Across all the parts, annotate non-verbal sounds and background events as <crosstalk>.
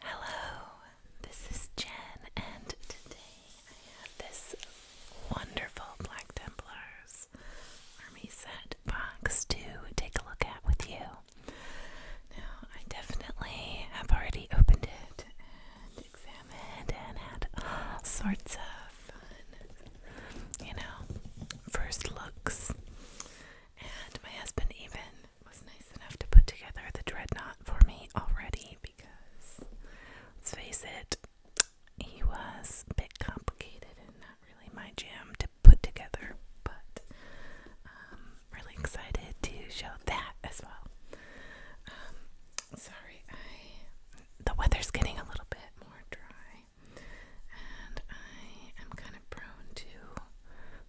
Hello, this is Jen, and today I have this wonderful Black Templars Army Set box to take a look at with you. Now, I definitely have already opened it and examined and had all sorts of fun, you know, first looks. And my husband even was nice enough to put together the dreadnought for me already because, let's face it, he was a bit complicated and not really my jam to put together, but I'm um, really excited to show that as well. Um, sorry, I the weather's getting a little bit more dry, and I am kind of prone to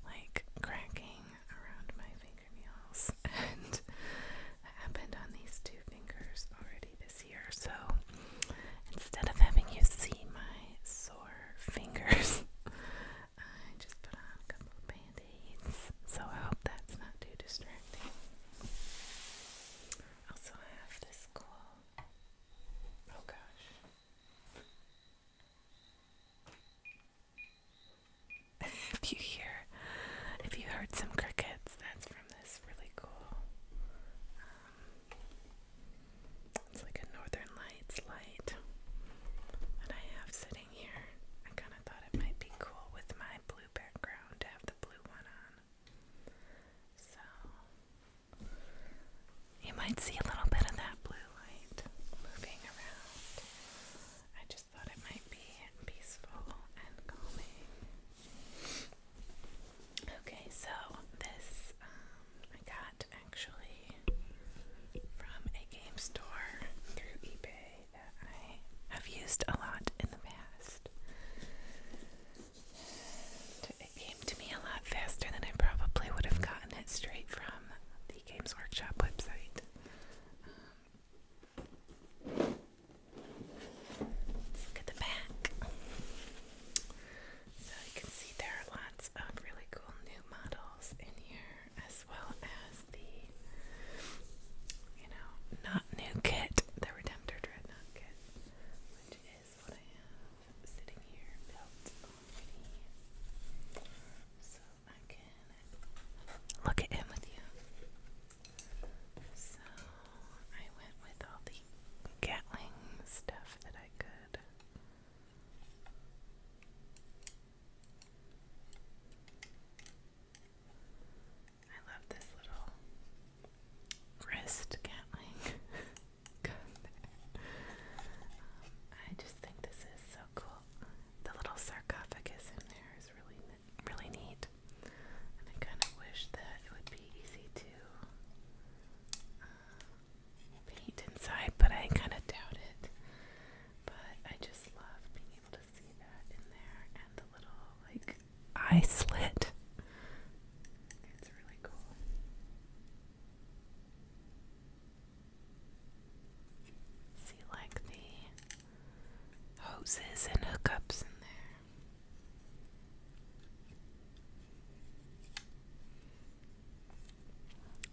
like cracking around my fingernails, <laughs> and happened on these two fingers already this year. So instead of having you see my sore fingers, <laughs> I just put on a couple band aids. So I hope that's not too distracting. Also, I have this cool. Oh gosh. <laughs> if you hear, if you heard some crickets, that's from this really cool. Um, it's like a Northern Lights light that I have sitting here. I kind of thought it might be cool with my blue background to have the blue one on. So you might see a little bit of that blue light moving around. I just thought it might be peaceful and calming. Okay, so this um, I got actually from a game store through eBay that I have used a lot in the past. it came to me a lot faster than I probably would have gotten it straight from Games Workshop website. look at the back. So you can see there are lots of really cool new models in here, as well as the, you know, not new kit, the Redemptor Dreadnought kit, which is what I have sitting here built I can look at him with you. So I went with all the Gatling stuff that I could. I love this little wrist Gatling <laughs> um, I just think this is so cool. The little sarcophagus in there is really really neat. And I kind of wish that it would be easy to uh, paint inside, but I kind of doubt it. But I just love being able to see that in there and the little like eye slit. It's really cool. See, like the hoses and hookups in there.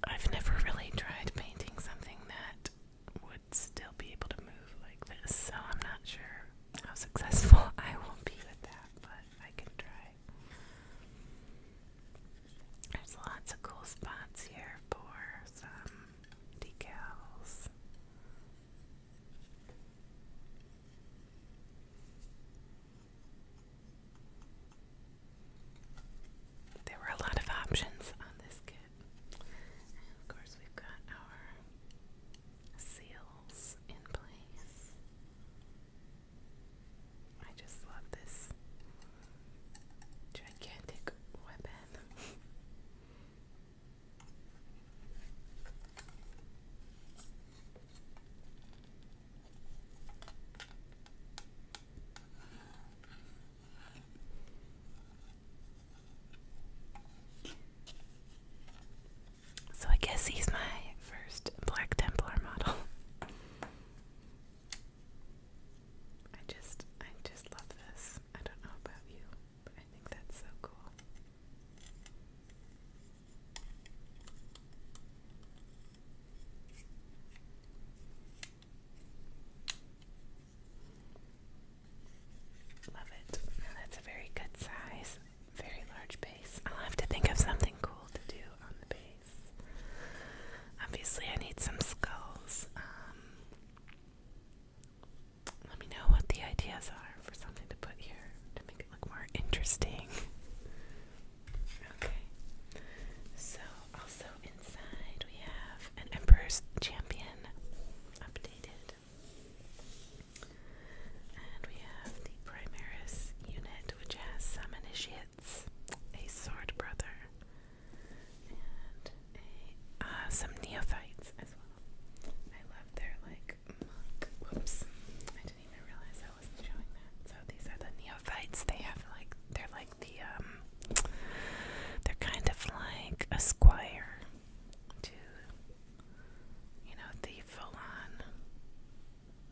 I've never really tried painting something that would still be able to move like this, so I'm not sure how successful <laughs> I will be with that, but I can try. There's lots of cool spots here for some decals. There were a lot of options on this kit. of course, we've got our seals in place. I just love this gigantic weapon. So I guess he's my first Black Templar model. <laughs> I just, I just love this. I don't know about you, but I think that's so cool. Love it. that's a very good size, very large base. I'll have to think of something cool to do on the base. Obviously, I need some skulls. Um, let me know what the ideas are for something to put here to make it look more interesting. okay. So, also inside, we have an Emperor's Champion updated. And we have the Primaris unit, which has some initiative a sword brother, and a, uh, some neophytes as well. I love their like Whoops, I didn't even realize I wasn't showing that. So these are the neophytes. They have like they're like the um, they're kind of like a squire to you know the full on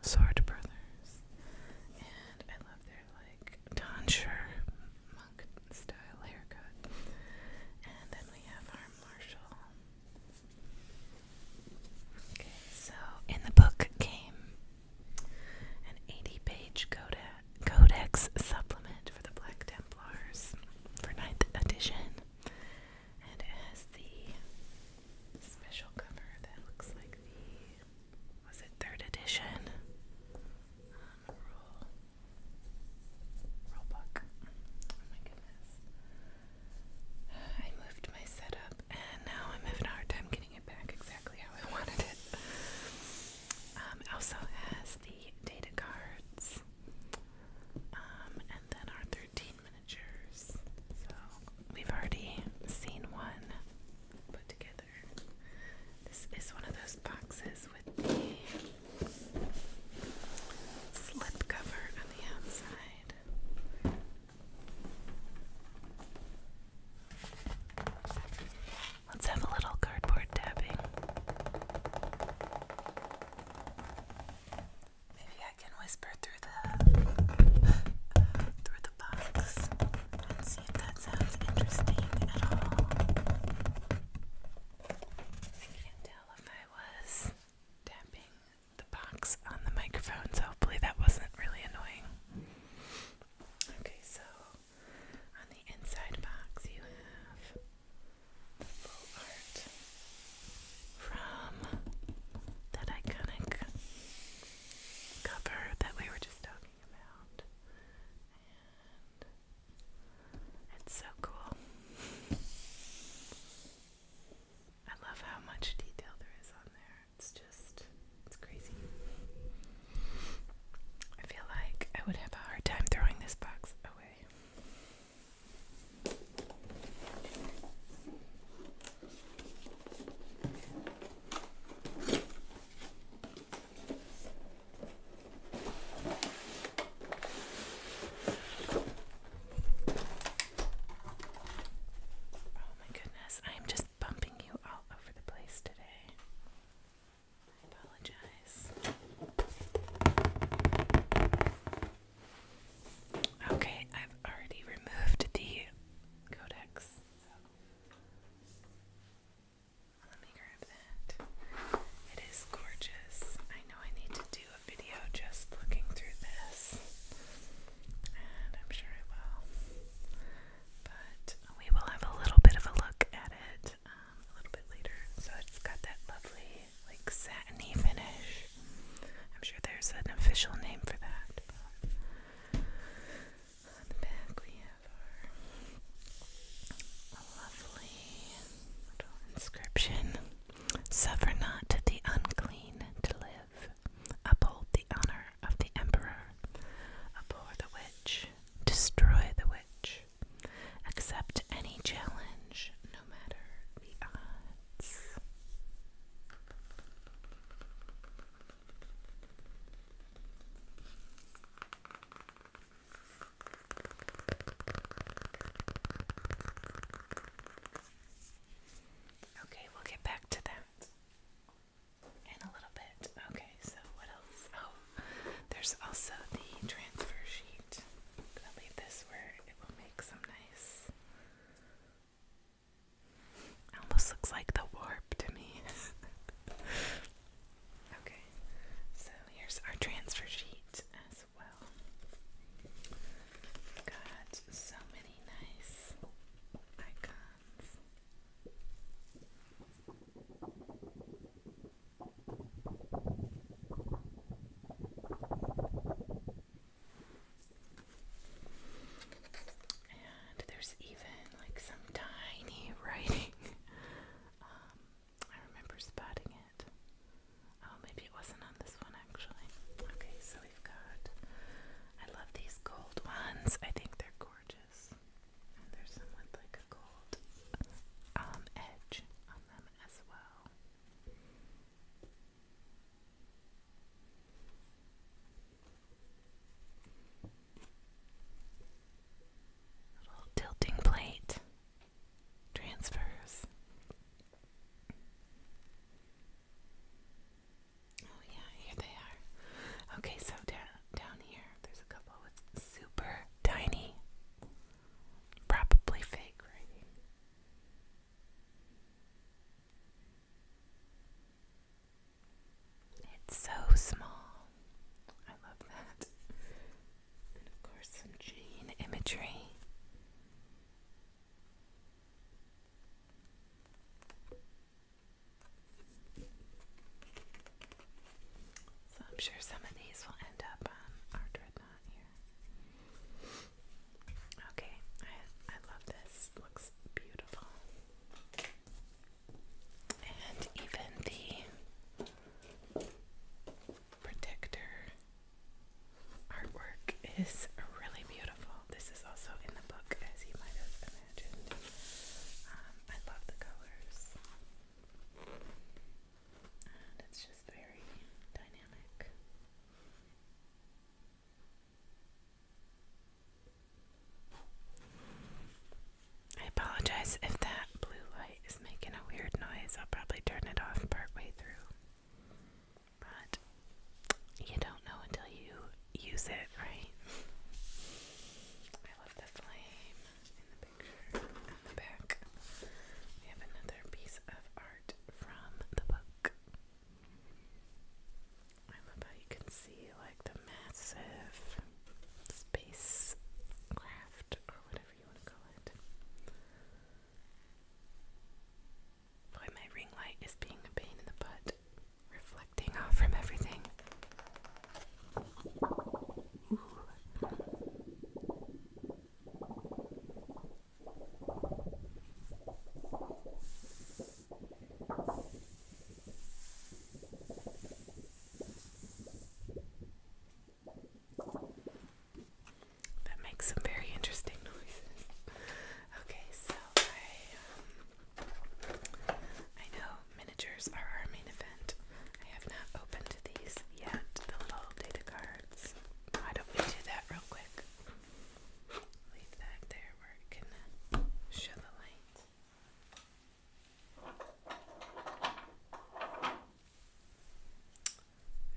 sword brothers. And I love their like tonsure monk style haircut. And then we have our Marshall. Okay, so in the book came an 80 page codex supplement for the Black Templars for 9th edition. And it has the special cover that looks like the was it third edition? rule, um, rule Oh my goodness. I moved my setup and now I'm having a hard time getting it back exactly how I wanted it. Um, also has the data cards um, and then our 13 miniatures. So we've already seen one put together. This is one of those boxes with the slip cover on the outside. Let's have a little cardboard tapping. Maybe I can whisper through the <gasps> through the box that sounds interesting at all. I can't tell if I was tapping the box on the microphone, so hopefully that wasn't really annoying. Okay, so on the inside box, you have the full art from that iconic cover that we were just talking about. It's so cool. I love how much detail there is on there. It's just, it's crazy. I feel like I would have a hard time throwing this box away. Oh my goodness, I'm just bumping you all over the place today. I apologize. Okay, I've already removed the codex. Let me grab that. It is gorgeous. I know I need to do a video just looking through this, and I'm sure I will. But we will have a little bit of a look at it um, a little bit later. So it's got that lovely, like, satiny finish. I'm sure there's an official name for that on the back we have our lovely little inscription. Suffer not the unclean to live. Uphold the honor of the emperor. Abhor the witch. Destroy the witch. Accept any challenge, no matter the odds. Okay, we'll get back to that in a little bit. Okay, so what else? Oh, there's also the transfer sheet. I'll leave this where it will make some nice. Almost looks like the war to me. <laughs> okay, so here's our transfer sheet as well. Got so many nice icons there's even like some tiny <laughs> writing. Um, I remember spotting it. Oh, maybe it wasn't on this one actually. Okay, so we've got. I love these gold ones. I think they're gorgeous. And there's some with like a gold um, edge on them as well. Little tilting plate transfers. Oh yeah, here they are. Okay, so down down here, there's a couple with super tiny, probably fake it's so small. I love that. And of course, some chain imagery. So I'm sure some of these will end up on um, our dreadnought here. Okay, I I love this. Looks beautiful and even the protector artwork is really beautiful. This is also in the book, as you might have imagined. Um, I love the colors, and it's just very dynamic. I apologize if that blue light is making a weird noise. I'll probably turn it off partway through. But you don't know until you use it, right? I love the flame in the picture on the back. We have another piece of art from the book. I love how you can see like the massive space or whatever you want to call it. Boy, my ring light is being a pain in the butt, reflecting off from everything. That makes some very interesting noises. Okay, so I um, I know miniatures are our main event. I have not opened these yet, the little data cards. Why don't we do that real quick? Leave that there where it can show the light.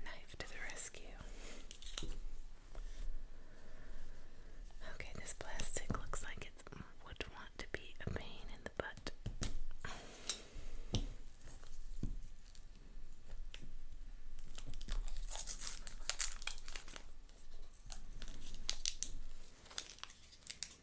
Knife to the rescue. Okay, this plastic looks like it would want to be a pain in the butt.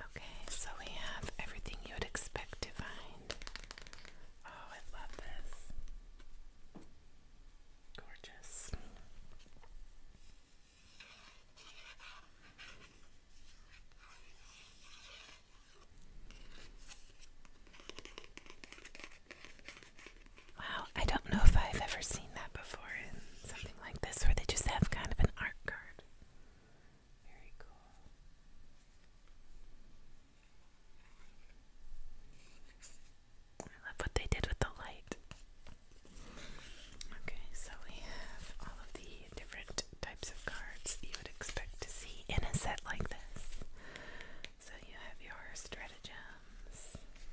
Okay, so we have everything you would expect to find. Oh, I love this. Gorgeous. Wow, I don't know if I've ever seen that before in something like this where they just have kind of an art card. Very cool. I love what they did with the light. Okay, so we have all of the different types of cards you would expect to see in a set like this. So you have your stratagems. And you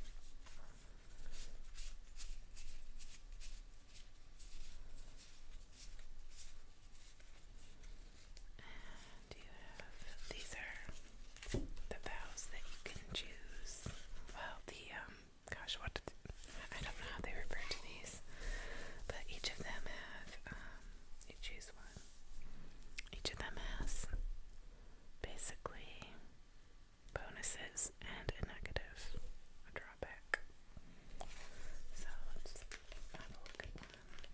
have these are the vows that you can choose. Well, the um gosh, what did I don't know how they refer to these, but each of them have um, you choose one. Each of them has basically bonuses and a negative, a drawback. So let's have a look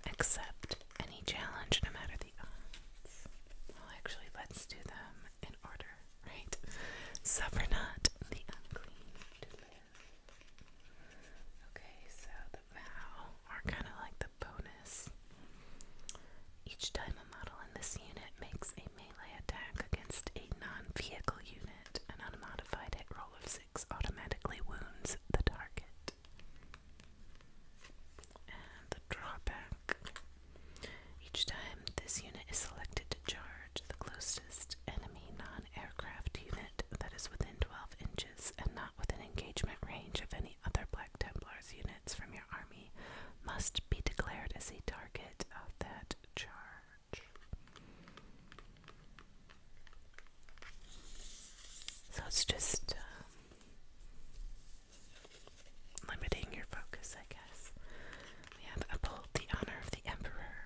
Accept any challenge, no matter the odds. Well, actually, let's do them in order, right? Suffer <laughs> not the unclean, Okay, so the vow are kind of like the bonus. Each time a model in this unit makes a melee attack against a non vehicle unit, an unmodified hit roll of 6 automatically wounds the target. And the drawback each time this unit is selected to charge, the closest enemy non aircraft unit that is within 12 inches and not within engagement range of any other Black Templars units from your army must be declared as a target of that charge. So it's just um, limiting your focus, I guess. We have uphold the honor of the Emperor.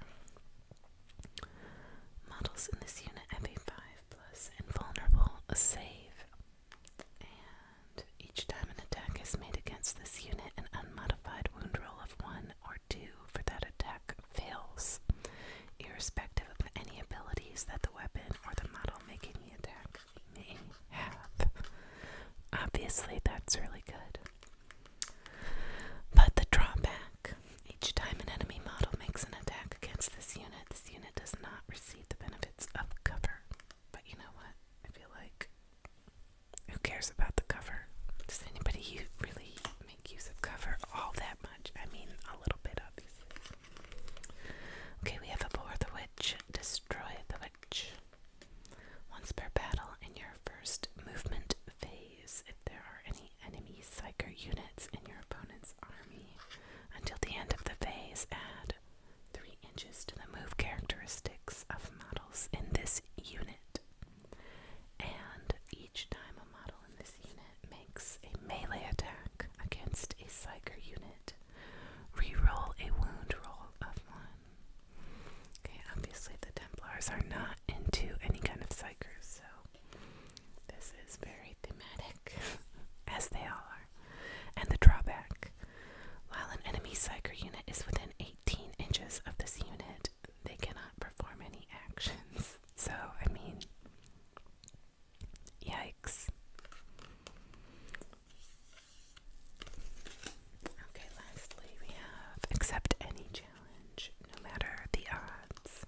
Models in this unit have a 5 plus invulnerable save. And each time an attack is made against this unit, an unmodified wound roll of 1 or 2 for that attack fails, irrespective of any abilities that the weapon or the model making the attack may have. Obviously, that's really good. But the drawback each time an enemy model makes an attack against this unit, this unit does not receive the benefits of cover. But you know what? I feel like who cares about the cover? Does anybody really make use of cover all that much? I mean, a little bit, obviously. Okay, we have bore the Witch, Destroy the Witch. Once per battle in your first movement phase if there are any enemy psyker units in your opponent's army. Until the end of the phase, add 3 inches to the move characteristics of models in this unit. And each time a model in this unit makes a melee attack against a psyker unit, reroll a wound roll of 1. Okay, obviously the Templars are not into any kind of psychers, so this is very thematic, <laughs> as they all are. And the drawback while an enemy psyker unit is within 18 inches of this unit, they cannot perform any actions. <laughs> So, I mean, yikes. Okay, lastly, we have accept any challenge no matter the odds.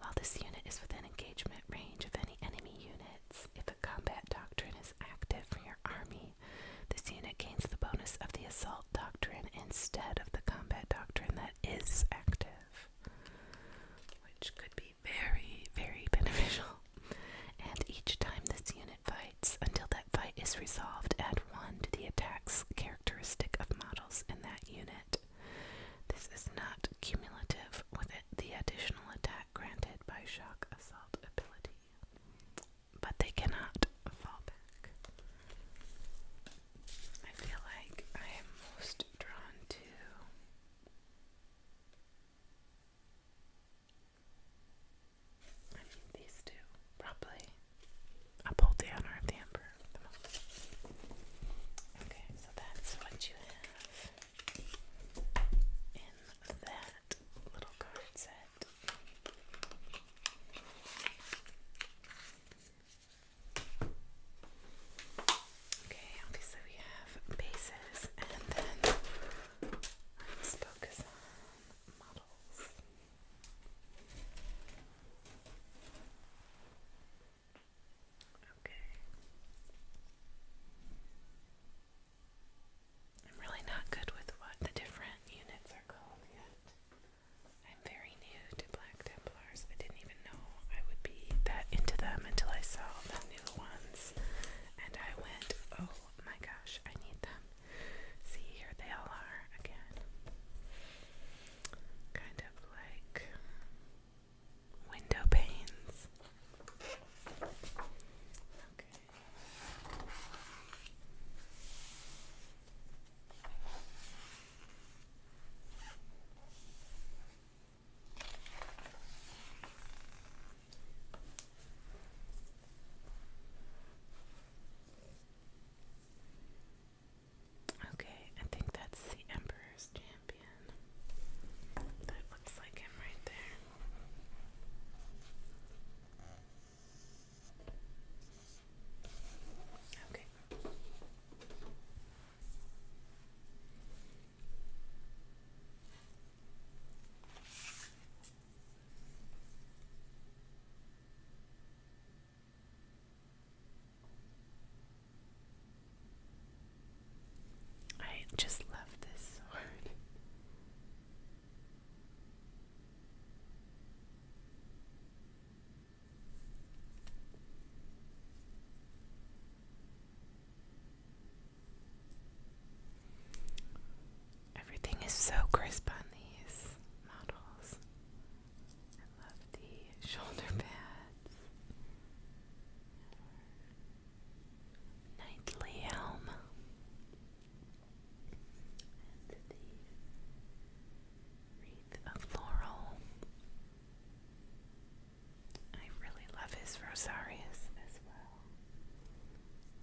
While this unit is within engagement range of any enemy units, if a combat doctrine is active for your army, this unit gains the bonus of the assault doctrine instead of the combat doctrine that is active. Which could be very, very <laughs> beneficial. And each time this unit fights, until that that fight is resolved, add 1 to the attack's characteristic of models in that unit. This is not cumulative with it, the additional attack granted by shock assault ability, but they cannot fall back. I feel like I am most drawn to. these two, probably uphold the honor of the emperor. Okay, so that's what you have in that little card set. Okay, obviously we have bases and then let's focus on models. Okay. I'm really not good with what the different units are called yet. I'm very new to Black Templars. I didn't even know I would be that into them until I saw the new ones. And I went, oh my gosh, I need them. See, here they all are again. Kind of like window panes. Okay. Okay, I think that's the Emperor's Champion. That looks like him right there. Okay. I just love this Everything is so crisp on these models. I love the <laughs> shoulder pads. Knightly helm. And the wreath of laurel. I really love his rosarius as well.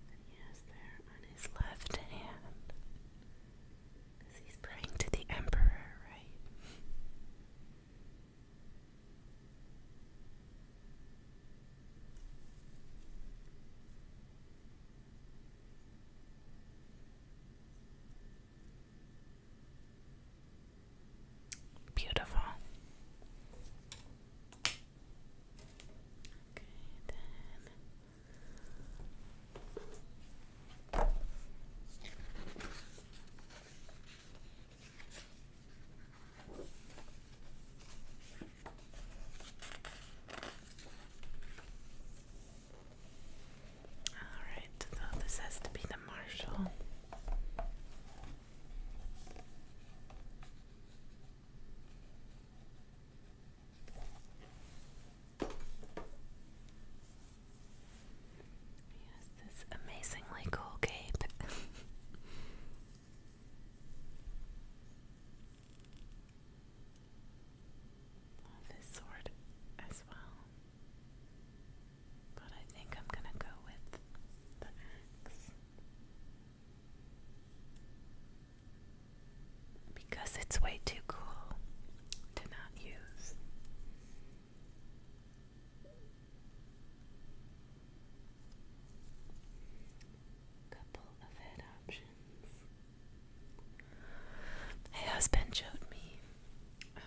That he has there on his left hand he's praying to the Emperor, right? Beautiful. Okay, then Alright, so this has to be the marshal. Yes, this amazingly cool cape. Love this sword as well. But I think I'm gonna go with the axe because it's way too cool to not use. Couple of head options. My husband showed me, um,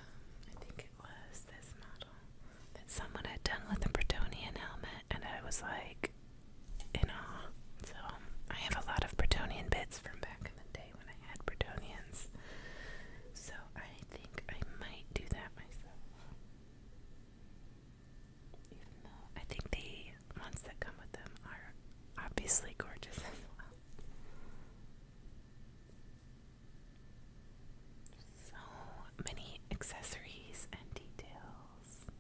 I think it was this model, that someone had done with a Bretonian helmet, and I was like in awe. So um, I have a lot of Bretonian bits from back in the day when I had Bretonians. So I think I might do that myself. Even though I think the ones that come with them are obviously gorgeous as well. So many accessories and details.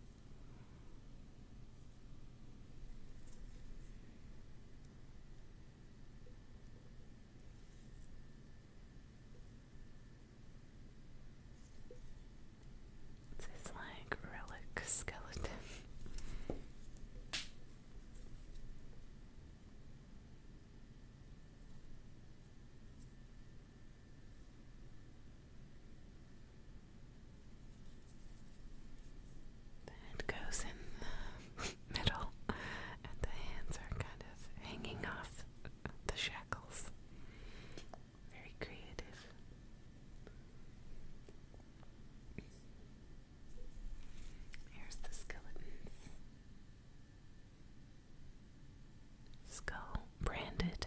It's like relic skeleton. The head goes in the <laughs> middle, and the hands are kind of hanging off the shackles. Very creative. Here's the skeletons. Skull branded.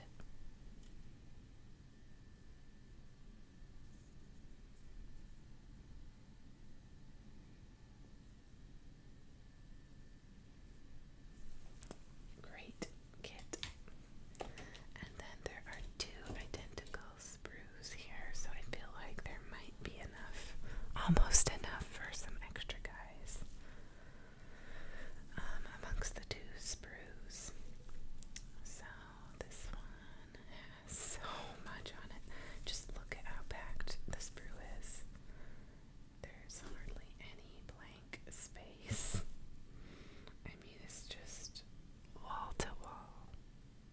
Great kit. And then there are two identical sprues here, so I feel like there might be enough, almost enough for some extra guys um, amongst the two sprues. So this one so much on it. Just look at how packed the sprue is. There's hardly any blank space. I mean, it's just wall to wall.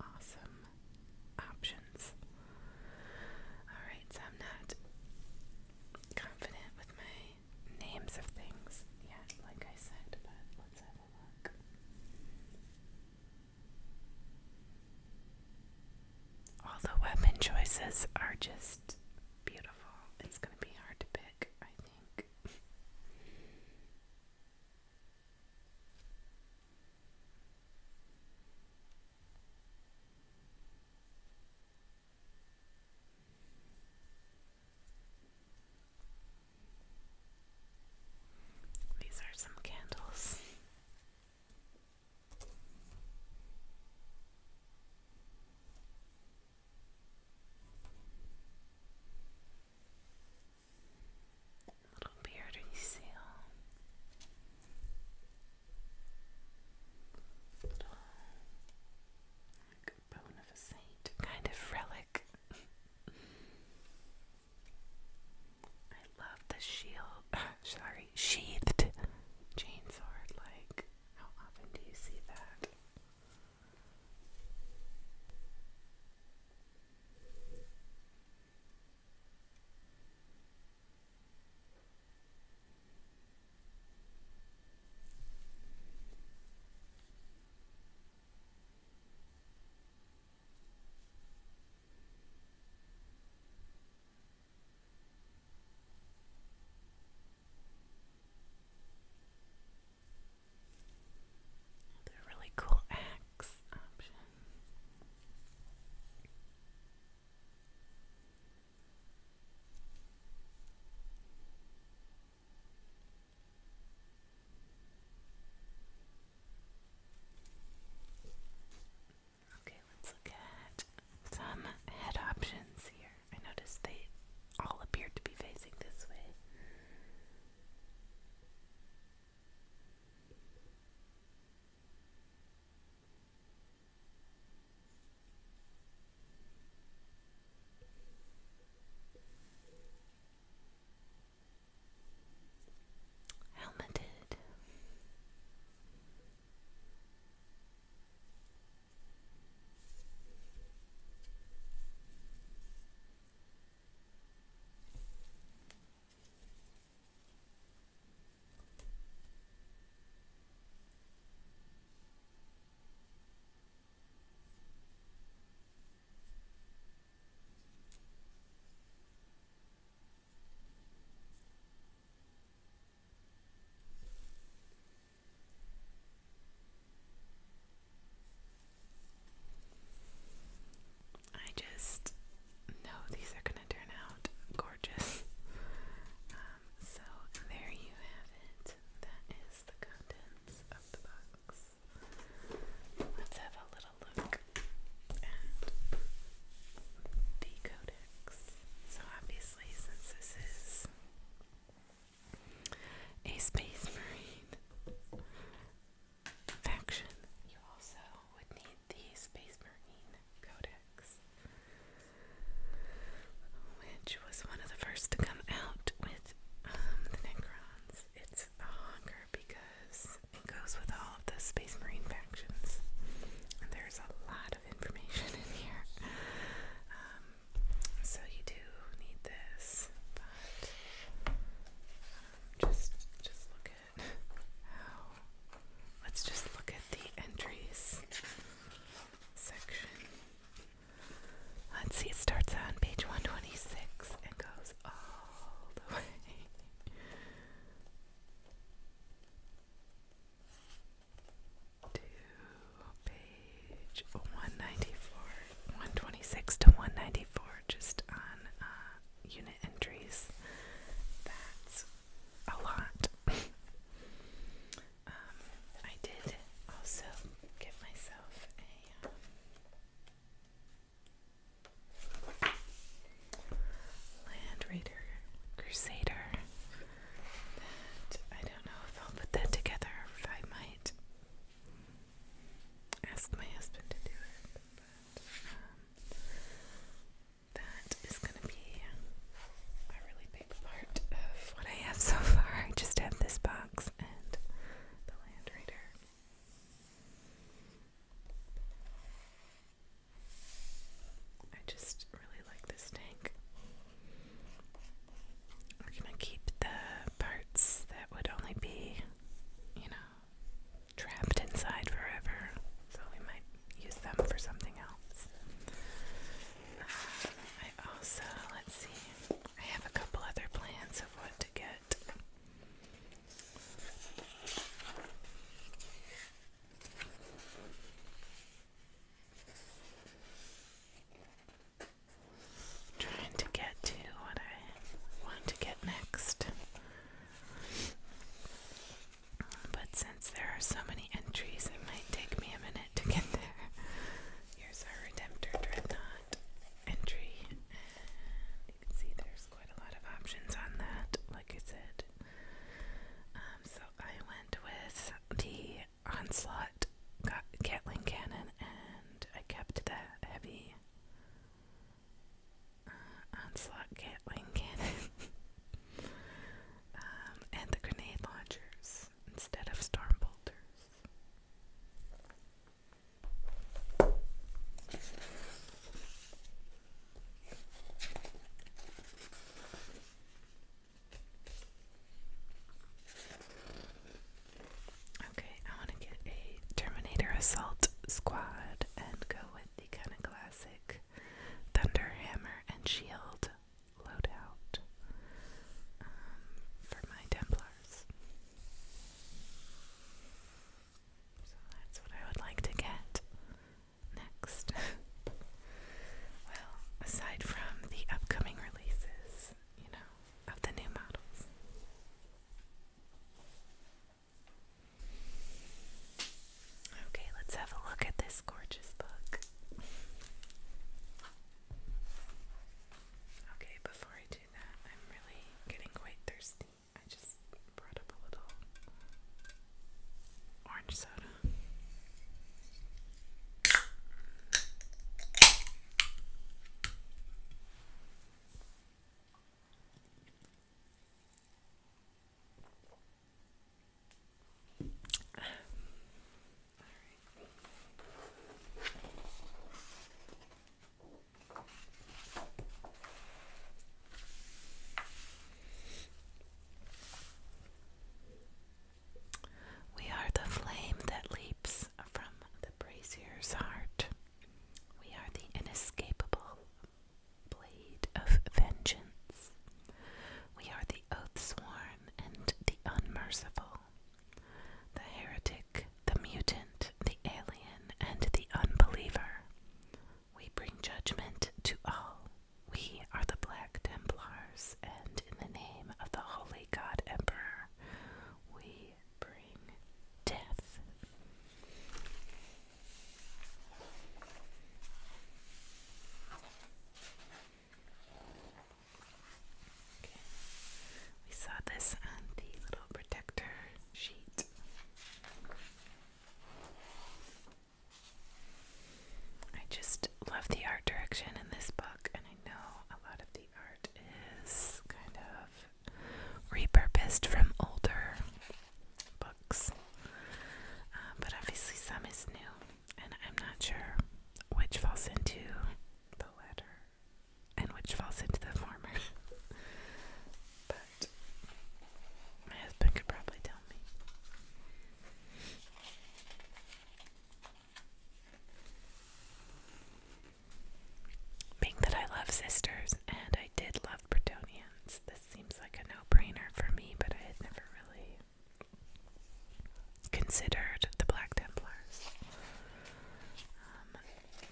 Awesome options. Alright, so I'm not confident with my names of things yet, like I said, but let's have a look. All the weapon choices are just beautiful. It's going to be hard to pick, I think. These are some candles. Little beardy seal. Little like bone of a saint kind of relic. <laughs> I love the shield, <laughs> sorry, sheathed chainsword. Like, how often do you see that? They're really cool axe option. Okay, let's look at some head options here. I noticed they all appear to be facing this way. Helmeted. I just know these are going to turn out gorgeous. Um, so there you have it. That is the contents of the box. Let's have a little look at the codex. So, obviously, since this is a space marine faction, you also would need the space marine codex, which was one of the first to come out with um, the Necrons. It's a hunger because it goes with all of the Space Marine factions. And there's a lot of information in here. Um, so you do need this, but um, just just look at how. Let's just look at the entries section. Let's see. It starts on page one twenty six and goes all the <laughs> way to page 194, 126 to 194, just on uh, unit entries. That's a lot. <laughs> Um, I did also give myself a. Um, Land Raider Crusader. I don't know if I'll put that together if I might ask my husband to do it. But um, that is gonna be a really big part of what I have so far. I just have this box and the Land Raider. I just really like this tank. We're gonna keep the parts that would only be, you know, trapped inside forever. So we might use them for something else. Uh, I also, let's see, I have a couple other plans of what to get. trying to get to what I want to get next. But since there are so many entries, it might take me a minute to get there. Here's our Redemptor Dreadnought entry see there's quite a lot of options on that, like I said. Um, so I went with the Onslaught Gatling Cannon and I kept that heavy uh, Onslaught Gatling Cannon. <laughs> Um, and the grenade launchers instead of storm bolters. Okay, I want to get a Terminator Assault Squad and go with the kind of classic Thunderhammer and Shield loadout um, for my Templars. So that's what I would like to get next. <laughs> well, aside from the upcoming releases, you know, of the new models. Okay, let's have a look at this gorgeous book. Okay, before I do that, I'm really getting quite thirsty. I just brought up a little orange soda. All right. We are the flame that leaps from the brazier's heart. We are the inescapable blade of vengeance. We are the oath sworn and the unmerciful, the heretic, the mutant, the alien, and the unbeliever. We bring judgment to all. We are the Black Templars, and in the name of the Holy God Emperor, we bring death. We saw this on the little protector sheet. I just love the art direction in this book, and I know a lot of the art is kind of repurposed from older books, uh, but obviously some is new, and I'm not sure which falls into the latter and which falls into the former. <laughs> my husband could probably tell me. Being that I love sisters and I did love Bretonians, this seems like a no brainer for me, but I had never really considered the Black Templars. Um,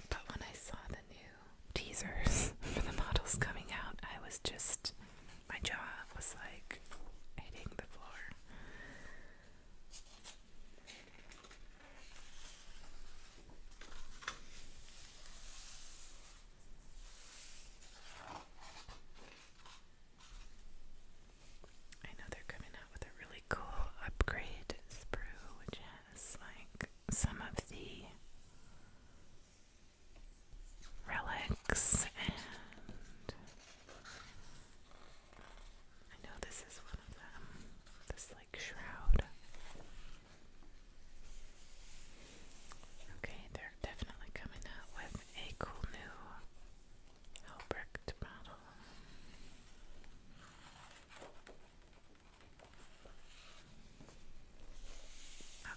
but when I saw new teasers <laughs> for the models coming out, I was just, my jaw was like hitting the floor. I know they're coming out with a really cool upgrade sprue, which has like some of the relics and I know this is one of them. This like shroud. Okay, they're definitely coming out with a cool new Helbricht model.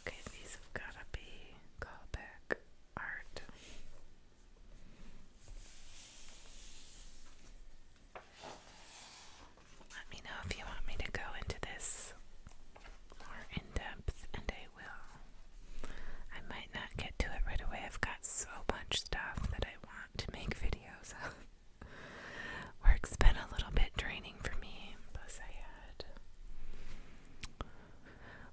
Okay, these have gotta be callback art. Let me know if you want me to go into this more in depth, and I will. I might not get to it right away. I've got so much stuff that I want to make <laughs> videos of. Work's been a little bit draining for me,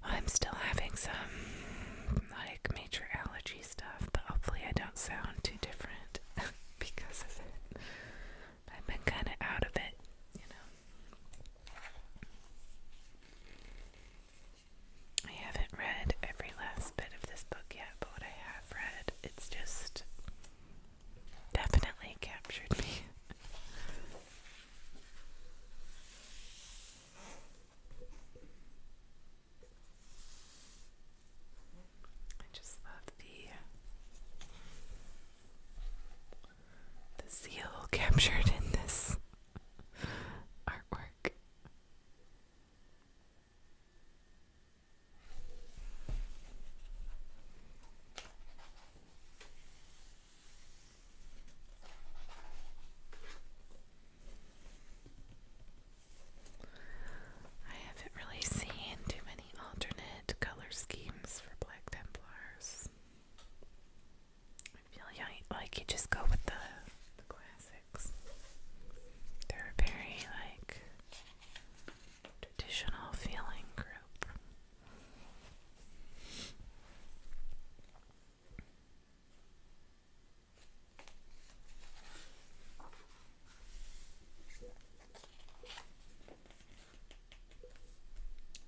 I I'm still having some like major allergy stuff, but hopefully I don't sound too different <laughs> because of it. I've been kind of out of it, you know. I haven't read every last bit of this book yet, but what I have read, it's just definitely captured me. I just love the the seal captured in this artwork. I haven't really seen too many alternate color schemes for Black Templars. I feel like you just go with the, classics. They're very like traditional feeling group.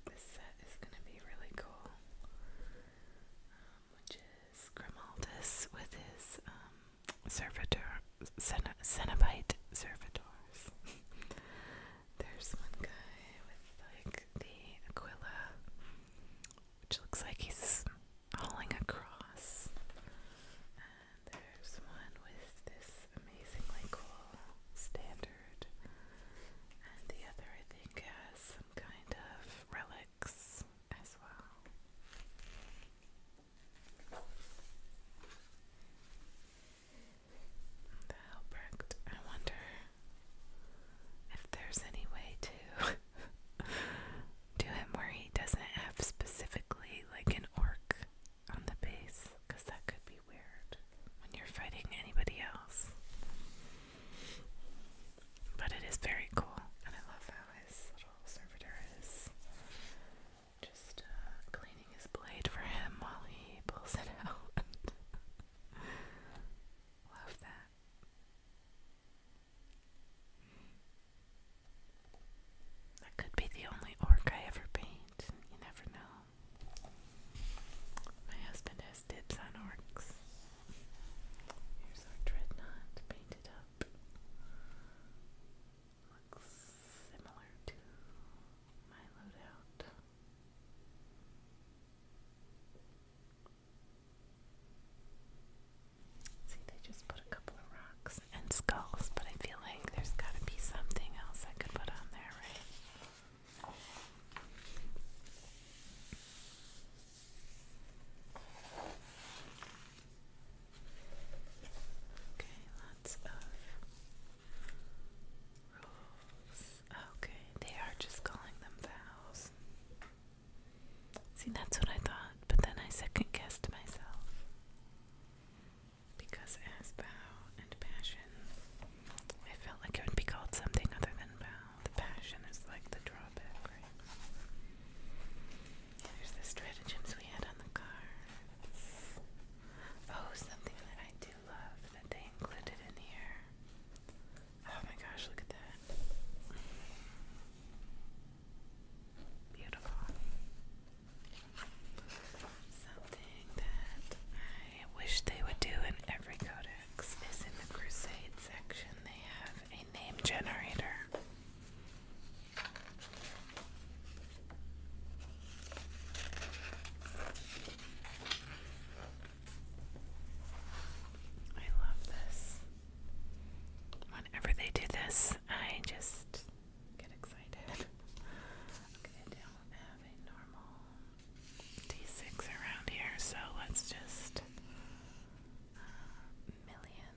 This set is going to be really cool, um, which is Grimaldus with his um, servitor, Cenobite servitors, <laughs> There's one guy with like the Aquila, which looks like he's hauling a cross. And there's one with this amazingly cool standard. And the other, I think, has some kind of relics as well. The Helbrecht. I wonder if there's any way to <laughs> do him where he doesn't have specifically like an orc on the base, because that could be weird when you're fighting anybody else. But it is very cool, and I love how his little servitor is just uh, cleaning his blade for him while he pulls it <laughs> out. Love that. That could be the only orc I ever paint. You never know. My husband has dibs on orcs. Here's our dreadnought painted up. Looks similar to See, they just put a couple of rocks and skulls, but I feel like there's gotta be something else I could put on there, right? Okay, lots of Okay, they are just calling them vows. See, that's what I thought, but then I second guessed myself. Because as vow and passion, I felt like it would be called something other than vow. The passion is like the drawback, right? There's the stratagems we had on the cards. Oh, something that I love that they included in here. Oh my gosh, look at that. Beautiful. Something that I wish they would do in every codex is in the Crusade section, they have a name generator. I love this. Whenever they do this, I just get excited. <laughs> okay, don't have a normal D6 around here, so let's just uh, million,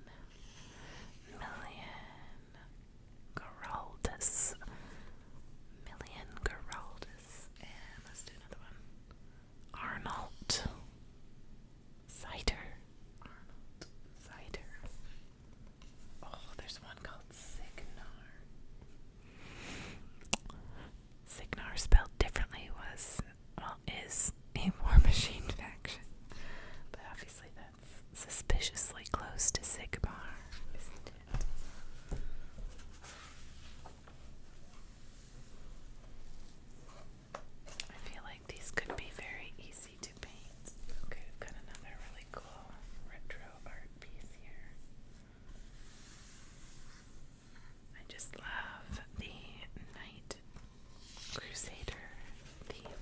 million, Geraldus. Million Geraldus. And let's do another one. Arnold. Cider. Arnold. Cider. Oh, there's one called Sigmar. Signar spelled differently was well is a war <laughs> machine faction. But obviously that's suspiciously close to Sigmar, I feel like these could be very easy to paint. Okay, I've got another really cool retro art piece here. I just love the Night Crusader theme.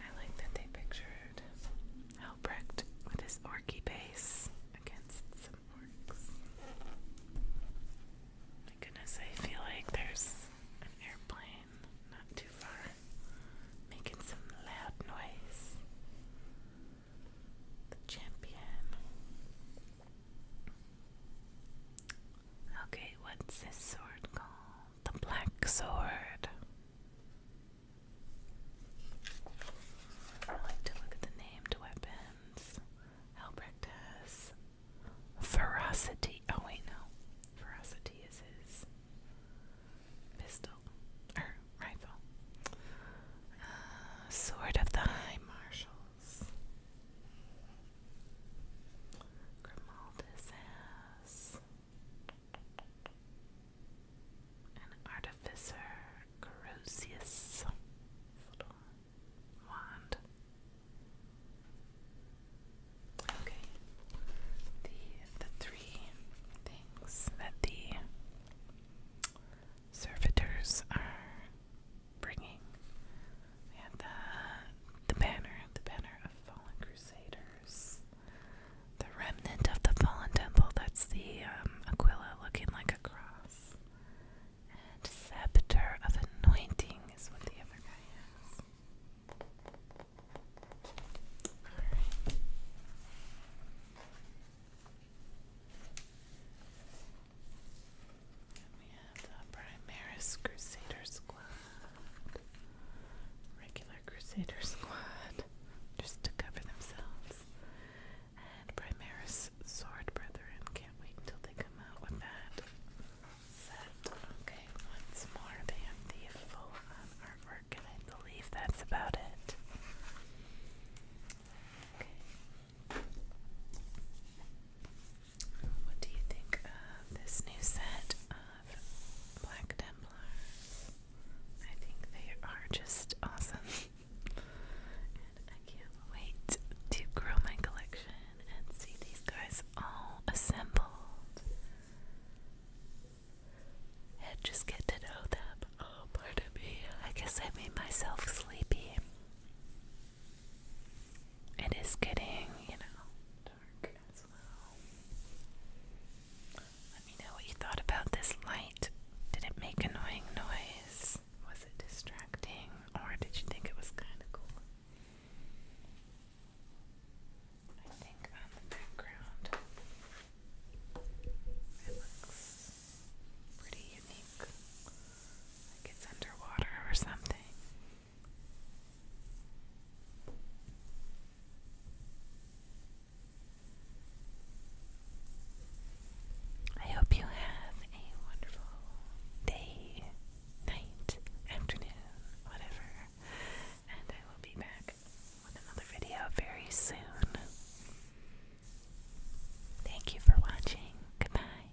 I like that they pictured Helbrecht with his orky base against some orcs. My goodness, I feel like there's an airplane not too far making some loud noise. The champion. Okay, what's this sword called? The Black Sword. I like to look at the named weapons. Albrecht ferocity. Oh wait, no, ferocity is his pistol or er, rifle. Uh, sword of the High Marshal else? Grimaldis has an artificer, wand. Okay, the the three things that the servitors are bringing. We had the uh, the banner, the banner of fallen crusaders, the remnant of the fallen temple. That's the um, Aquila looking like a cross, and scepter of anointing is what the other guy has we have the Primaris Crusader Squad. Regular Crusader Squad, just to cover themselves. And Primaris Sword Brethren. Can't wait until they come out with that set. Okay, once more, they have the full artwork, and I believe that's about it. Okay. What do you think of this new set of Black Templars? I think they are just awesome. <laughs> and I can't wait to grow my collection and see these guys all assembled. And just get to know them. Oh, pardon me. I guess I made myself sleepy. It is getting, you know, dark as well. Let me know what you thought about this light. Did it make annoying noise? Was it distracting? Or did you think it was kind of cool? I think on the background it looks pretty unique. Like it's underwater or something. I hope you have a wonderful day, night, afternoon, whatever, and I will be back with another video very soon. Thank you for watching. Goodbye.